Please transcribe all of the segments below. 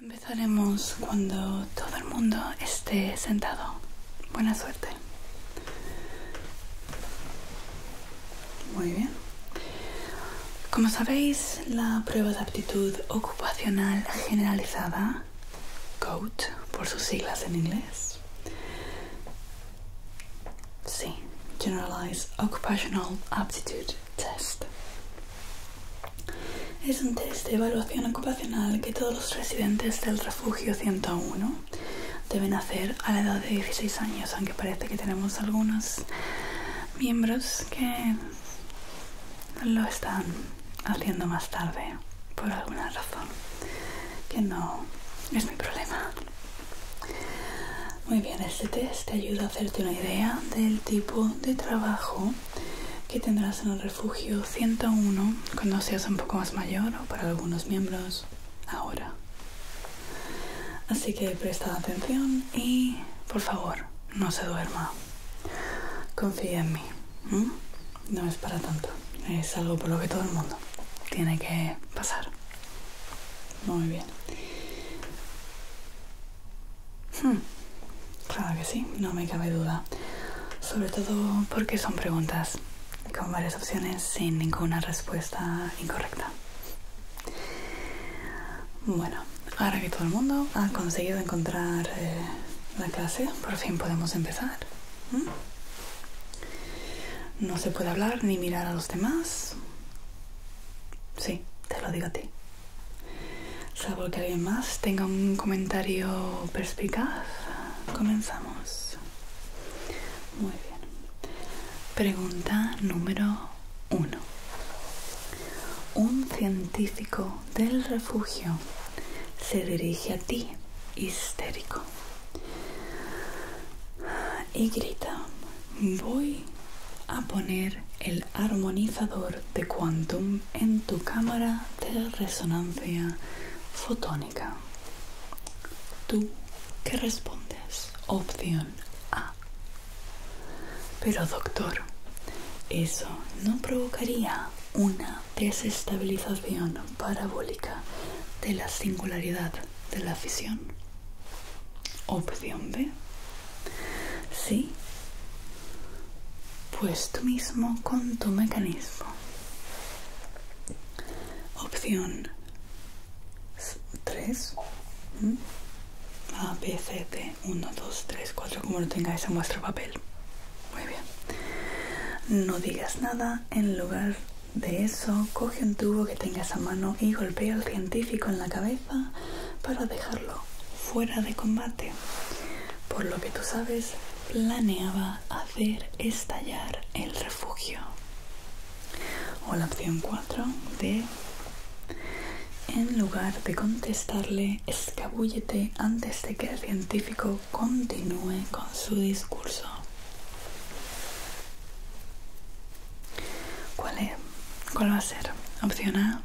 Empezaremos cuando todo el mundo esté sentado. Buena suerte. Muy bien. Como sabéis, la prueba de aptitud ocupacional generalizada, COAT, por sus siglas en inglés. Sí, Generalized Occupational Aptitude Test. Es un test de evaluación ocupacional que todos los residentes del refugio 101 deben hacer a la edad de 16 años, aunque parece que tenemos algunos miembros que lo están haciendo más tarde por alguna razón que no es mi problema. Muy bien, este test te ayuda a hacerte una idea del tipo de trabajo que tendrás en el refugio 101 cuando seas un poco más mayor o para algunos miembros ahora. Así que presta atención y por favor no se duerma. Confía en mí. No es para tanto. Es algo por lo que todo el mundo tiene que pasar. Muy bien. Hmm. Claro que sí, no me cabe duda. Sobre todo porque son preguntas con varias opciones sin ninguna respuesta incorrecta. Bueno, ahora que todo el mundo ha conseguido encontrar eh, la clase, por fin podemos empezar. ¿Mm? No se puede hablar ni mirar a los demás. Sí, te lo digo a ti. Salvo que alguien más tenga un comentario perspicaz, comenzamos. Muy bien. Pregunta número uno. Un científico del refugio se dirige a ti, histérico, y grita, Voy a poner el armonizador de quantum en tu cámara de resonancia fotónica. ¿Tú qué respondes? Opción A. Pero doctor, eso no provocaría una desestabilización parabólica de la singularidad de la fisión. Opción B. Sí. Pues tú mismo con tu mecanismo. Opción 3. ¿Mm? A, B, C, D. 1, 2, 3, 4, como lo tengáis en vuestro papel. Muy bien. No digas nada en lugar de eso, coge un tubo que tengas a mano y golpea al científico en la cabeza para dejarlo fuera de combate. Por lo que tú sabes, planeaba hacer estallar el refugio. O la opción 4 de... En lugar de contestarle, escabullete antes de que el científico continúe con su discurso. ¿Cuál, es? ¿Cuál va a ser? Opción A,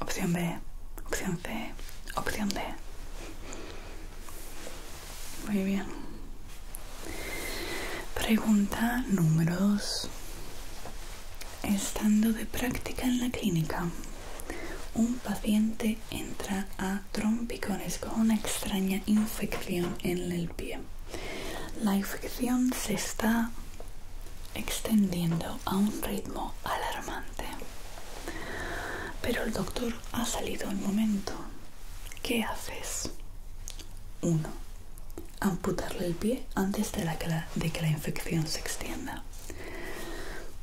opción B, opción C, opción D. Muy bien. Pregunta número 2. Estando de práctica en la clínica, un paciente entra a trompicones con una extraña infección en el pie la infección se está extendiendo a un ritmo alarmante. Pero el doctor ha salido al momento. ¿Qué haces? 1. Amputarle el pie antes de, que la, de que la infección se extienda.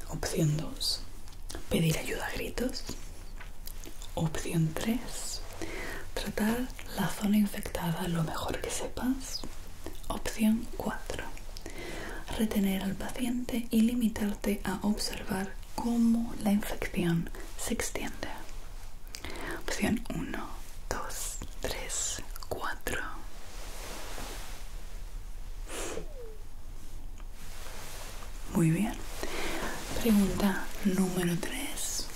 Opción 2. Pedir ayuda a gritos. Opción 3. Tratar la zona infectada lo mejor que sepas. Opción 4. Retener al paciente y limitarte a observar cómo la infección se extiende. Opción 1, 2, 3, 4. Muy bien. Pregunta número 3.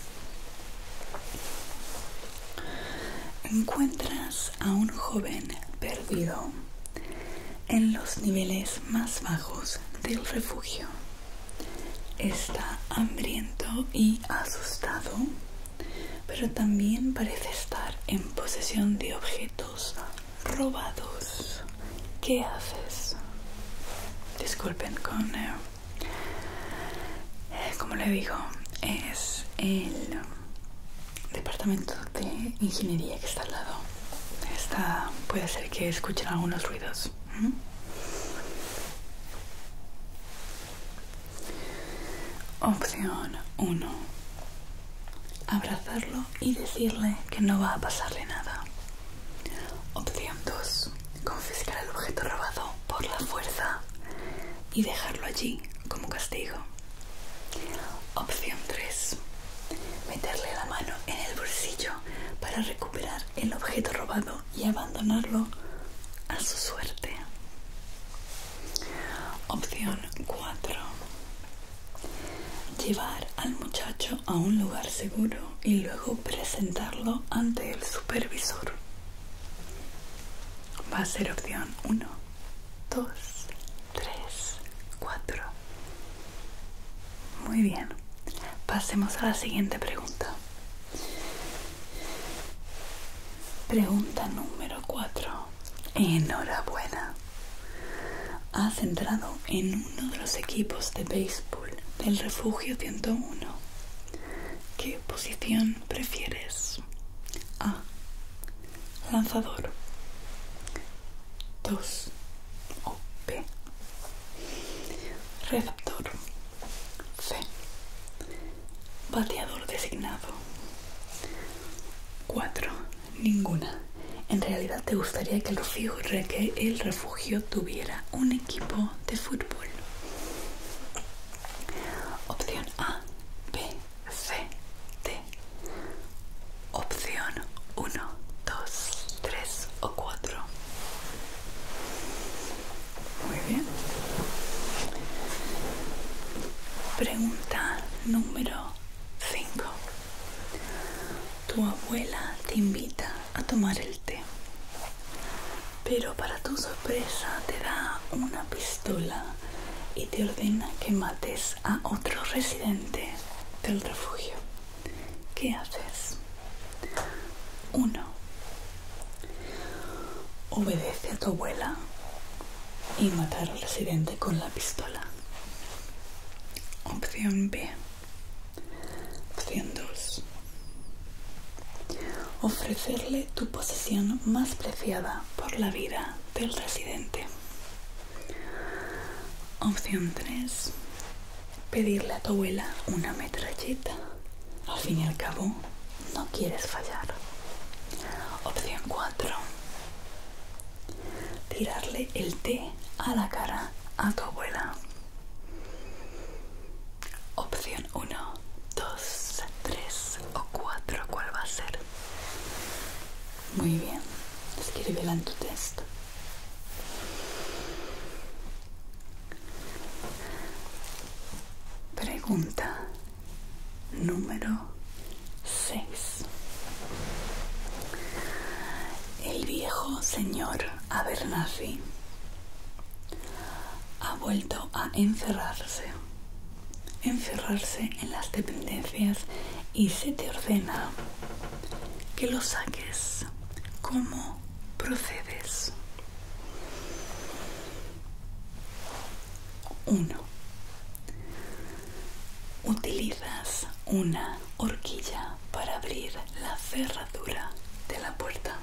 Encuentras a un joven perdido en los niveles más bajos del refugio. Está hambriento y asustado, pero también parece estar en posesión de objetos robados. ¿Qué haces? Disculpen con... Eh, eh, como le digo es el departamento de ingeniería que está al lado puede ser que escuchen algunos ruidos opción 1 abrazarlo y decirle que no va a pasarle nada opción 2 confiscar el objeto robado por la fuerza y dejarlo allí como castigo. Opción 3. Meterle la mano en el bolsillo para recuperar el objeto robado y abandonarlo a su suerte. Opción 4. Llevar al muchacho a un lugar seguro y luego presentarlo ante el supervisor va a ser opción 1, 2, 3, 4. Muy bien, pasemos a la siguiente pregunta. Pregunta número 4. Enhorabuena. Has entrado en uno de los equipos de béisbol del refugio 101 ¿Qué posición prefieres? A. Lanzador. 2. O B. Receptor. C. Bateador designado. 4. Ninguna. En realidad te gustaría que lo refugio, que el refugio tuviera un equipo de fútbol. Opción A, B, C, D. Opción 1, 2, 3 o 4. Muy bien. Pregunta número 5. Tu abuela te invita a tomar el té. Pero para tu sorpresa te da una pistola y te ordena que mates a otro residente del refugio. ¿Qué haces? 1. Obedece a tu abuela y matar al residente con la pistola. Opción B. Opción 2. Ofrecerle tu posesión más preciada por la vida del residente. Opción 3. Pedirle a tu abuela una metralleta. Al fin y al cabo, no quieres fallar. Opción 4. Tirarle el té a la cara a tu abuela. Opción 1, 2, 3 o 4, ¿cuál va a ser? Muy bien, escríbela en tu texto. Pregunta número 6. El viejo señor Abernathy ha vuelto a encerrarse, encerrarse en las dependencias y se te ordena que lo saques. ¿Cómo procedes? 1. Utilizas una horquilla para abrir la cerradura de la puerta.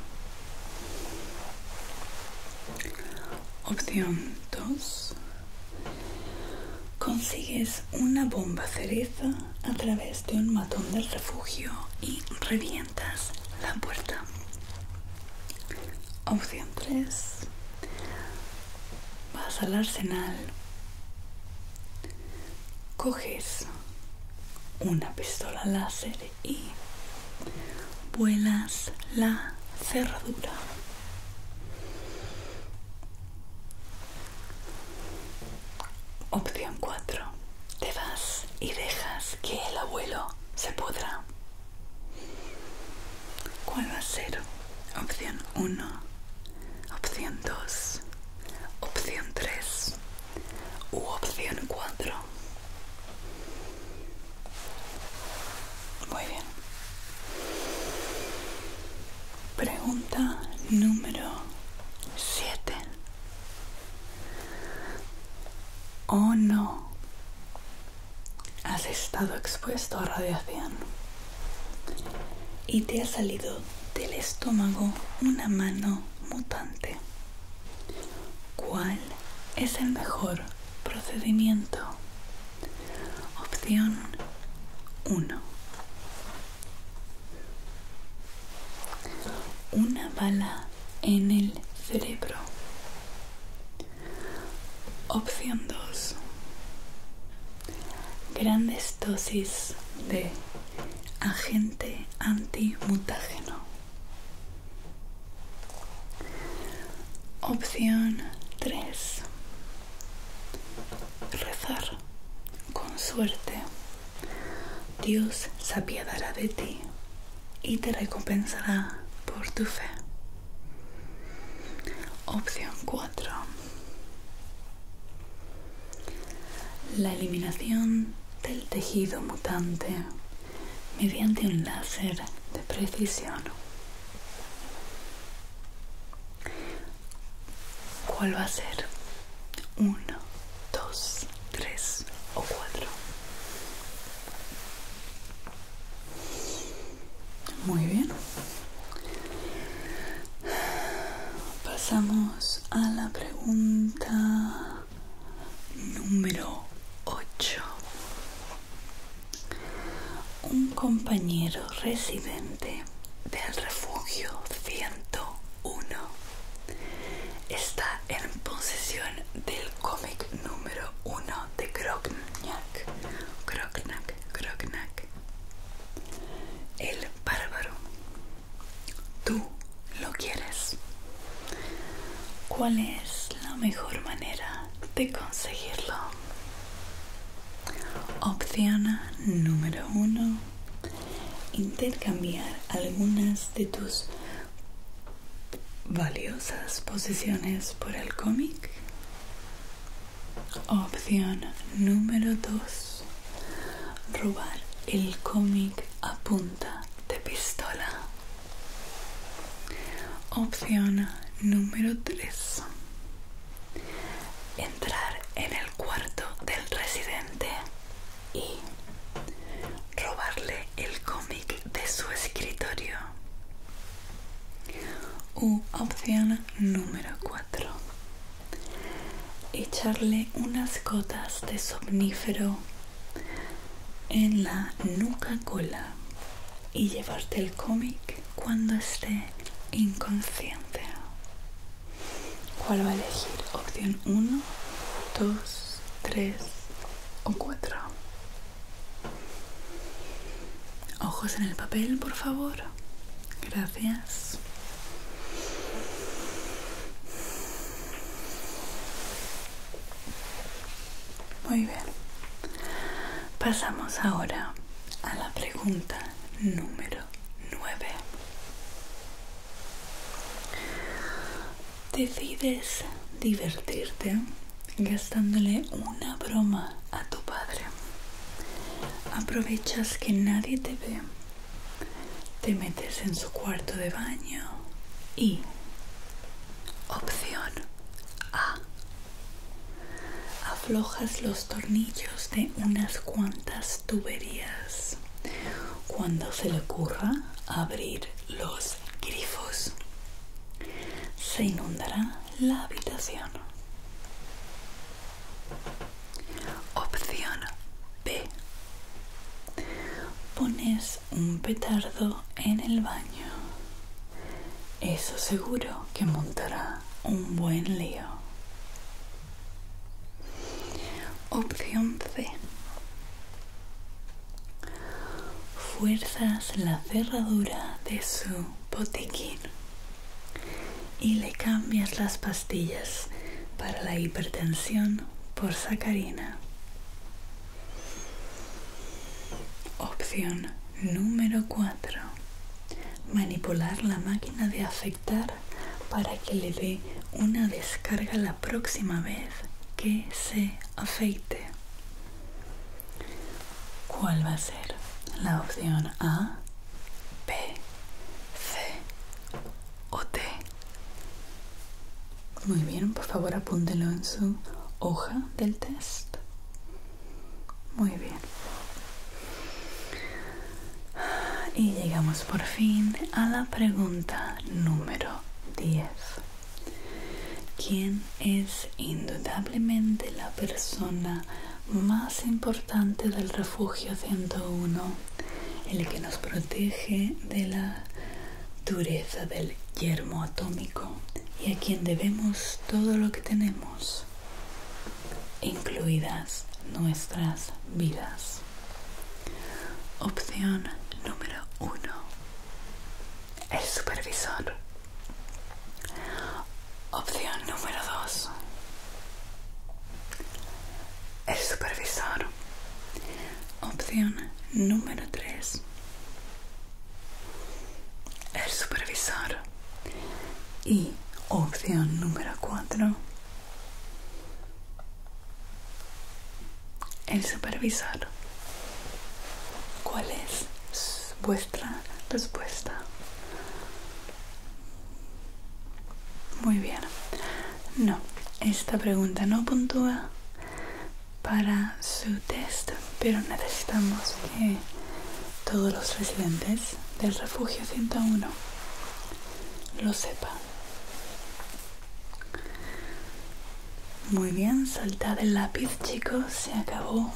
Opción 2. Consigues una bomba cereza a través de un matón del refugio y revientas la puerta. Opción 3. Vas al arsenal. Coges una pistola láser y vuelas la cerradura. Opción 4. Te vas y dejas que el abuelo se pudra. ¿Cuál va a ser? Opción 1. Opción 2. Opción 3 u opción 4. Muy bien. Pregunta número 7. ¿O no has estado expuesto a radiación y te ha salido del estómago una mano mutante? ¿Cuál es el mejor procedimiento? Opción 1. Una bala en el cerebro. Opción 2. Grandes dosis de agente antimutágeno. Opción 3. Rezar. Con suerte, Dios se apiadará de ti y te recompensará por tu fe. Opción 4. La eliminación del tejido mutante mediante un láser de precisión. ¿Cuál va a ser? Uno, dos, tres o cuatro. Muy bien pasamos a la pregunta número 8. Un compañero residente del refugio 101 está en posesión del cómic número 1 de Grognak. El bárbaro tú lo quieres. ¿Cuál es la mejor manera de conseguirlo? Opción número uno. Intercambiar algunas de tus valiosas posiciones por el cómic. Opción número dos robar el cómic a punta de pistola. Opción número 3. Entrar en el cuarto del residente y robarle el cómic de su escritorio. U opción número 4 echarle unas gotas de somnífero en la nuca cola y llevarte el cómic cuando esté inconsciente. ¿Cuál va a elegir? Opción 1, 2, 3 o 4. Ojos en el papel, por favor. Gracias. Muy bien. Pasamos ahora a la pregunta número nueve Decides divertirte gastándole una broma a tu padre. Aprovechas que nadie te ve te metes en su cuarto de baño y opción A aflojas los tornillos de unas cuantas tuberías cuando se le ocurra abrir los grifos se inundará la habitación Opción B. Pones un petardo en el baño. Eso seguro que montará un buen lío. Opción C. Fuerzas la cerradura de su botiquín y le cambias las pastillas para la hipertensión por sacarina. Opción número 4. Manipular la máquina de afectar para que le dé una descarga la próxima vez que se afeite. ¿Cuál va a ser? La opción A, B, C muy bien, por favor apúntelo en su hoja del test. Muy bien. Y llegamos por fin a la pregunta número 10. ¿Quién es indudablemente la persona más importante del refugio 101 el que nos protege de la dureza del yermo atómico y a quien debemos todo lo que tenemos, incluidas nuestras vidas. Opción número uno, el supervisor. Opción número dos, el supervisor. Opción número tres El supervisor. Y opción número cuatro El supervisor. ¿Cuál es vuestra respuesta? Muy bien. No, esta pregunta no puntúa para su test, pero necesitamos que todos los residentes del refugio 101 lo sepan. Muy bien, saltad el lápiz, chicos, se acabó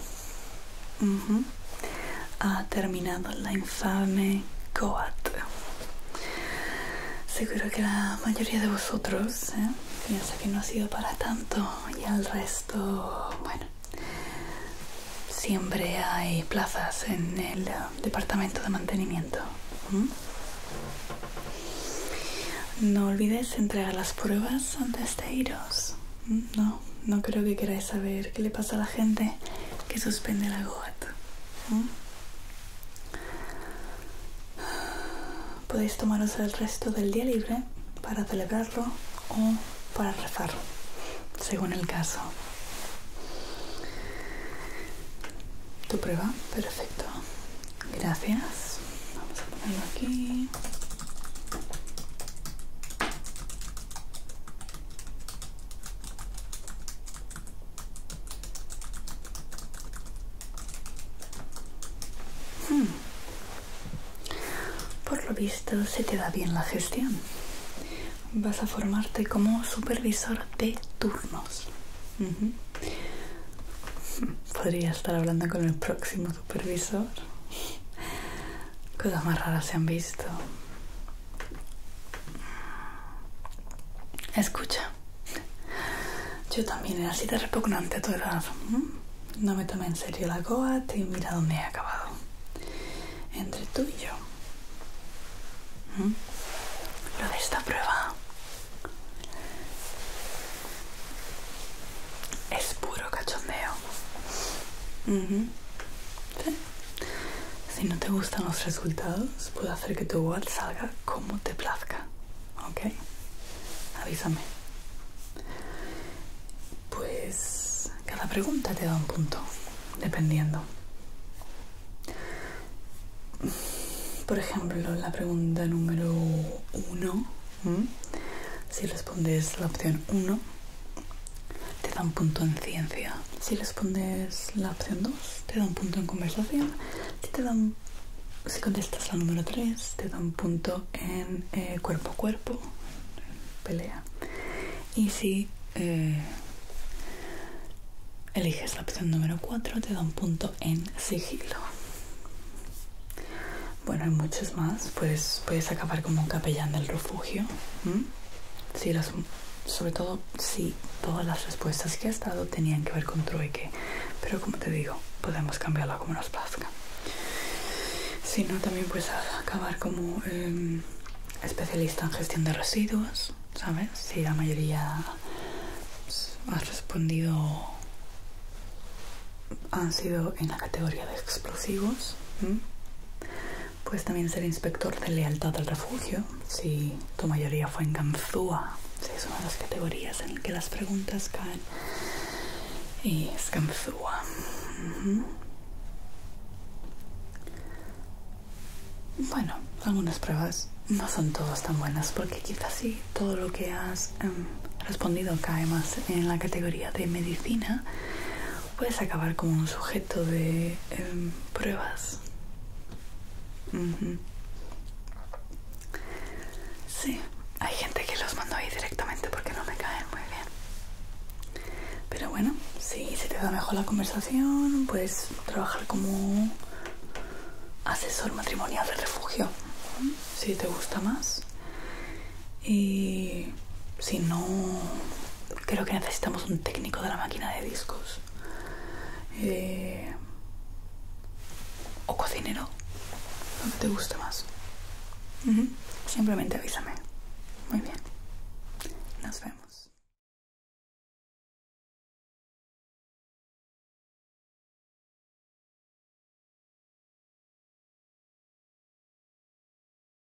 ha terminado la infame GOAT Seguro que la mayoría de vosotros ¿eh? piensa que no ha sido para tanto y al resto, bueno, siempre hay plazas en el eh, departamento de mantenimiento. No olvides entregar las pruebas antes de iros. No, no creo que queráis saber qué le pasa a la gente que suspende la goat. ¿Mm? Podéis tomaros el resto del día libre para celebrarlo o para rezar, según el caso. Tu prueba, perfecto. Gracias. Vamos a ponerlo aquí. Hmm. Por lo visto se te da bien la gestión. Vas a formarte como supervisor de turnos. Podría estar hablando con el próximo supervisor. Cosas más raras se han visto. Escucha, yo también era así de repugnante a tu edad. Mm. No me tomé en serio la goa he mira dónde he acabado. Entre tú y yo. Mm. Lo de esta prueba es puro cachondeo. Mm-hmm. Si no te gustan los resultados, puedo hacer que tu wall salga como te plazca. ¿Ok? Avísame. Pues cada pregunta te da un punto, dependiendo. Por ejemplo, la pregunta número uno. Si respondes la opción 1, te da un punto en ciencia. Si respondes la opción 2, te da un punto en conversación. Si, te dan, si contestas la número 3, te da un punto en eh, cuerpo a cuerpo, pelea. Y si eh, eliges la opción número 4, te da un punto en sigilo. Bueno, hay muchos más. Puedes, puedes acabar como un capellán del refugio. Si Si las sobre todo si todas las respuestas que has dado tenían que ver con trueque, pero como te digo, podemos cambiarla como nos plazca. Si no, también puedes acabar como em, especialista en gestión de residuos, ¿sabes? Si la mayoría has respondido han sido en la categoría de explosivos. Puedes también ser inspector de lealtad al refugio, si tu mayoría fue en Ganzúa. Sí, es una de las categorías en que las preguntas caen. Y es Ganzúa. Bueno, algunas pruebas no son todas tan buenas porque quizás sí todo lo que has em, respondido cae más en la categoría de medicina puedes acabar como un sujeto de em, pruebas. Sí, hay gente que los mando ahí directamente porque no me caen muy bien. Pero bueno, si se te da mejor la conversación, puedes trabajar como asesor matrimonial de refugio. Si te gusta más. Y si no creo que necesitamos un técnico de la máquina de discos. Eh, o cocinero, Lo que te guste más. Simplemente avísame. Muy bien. Nos vemos.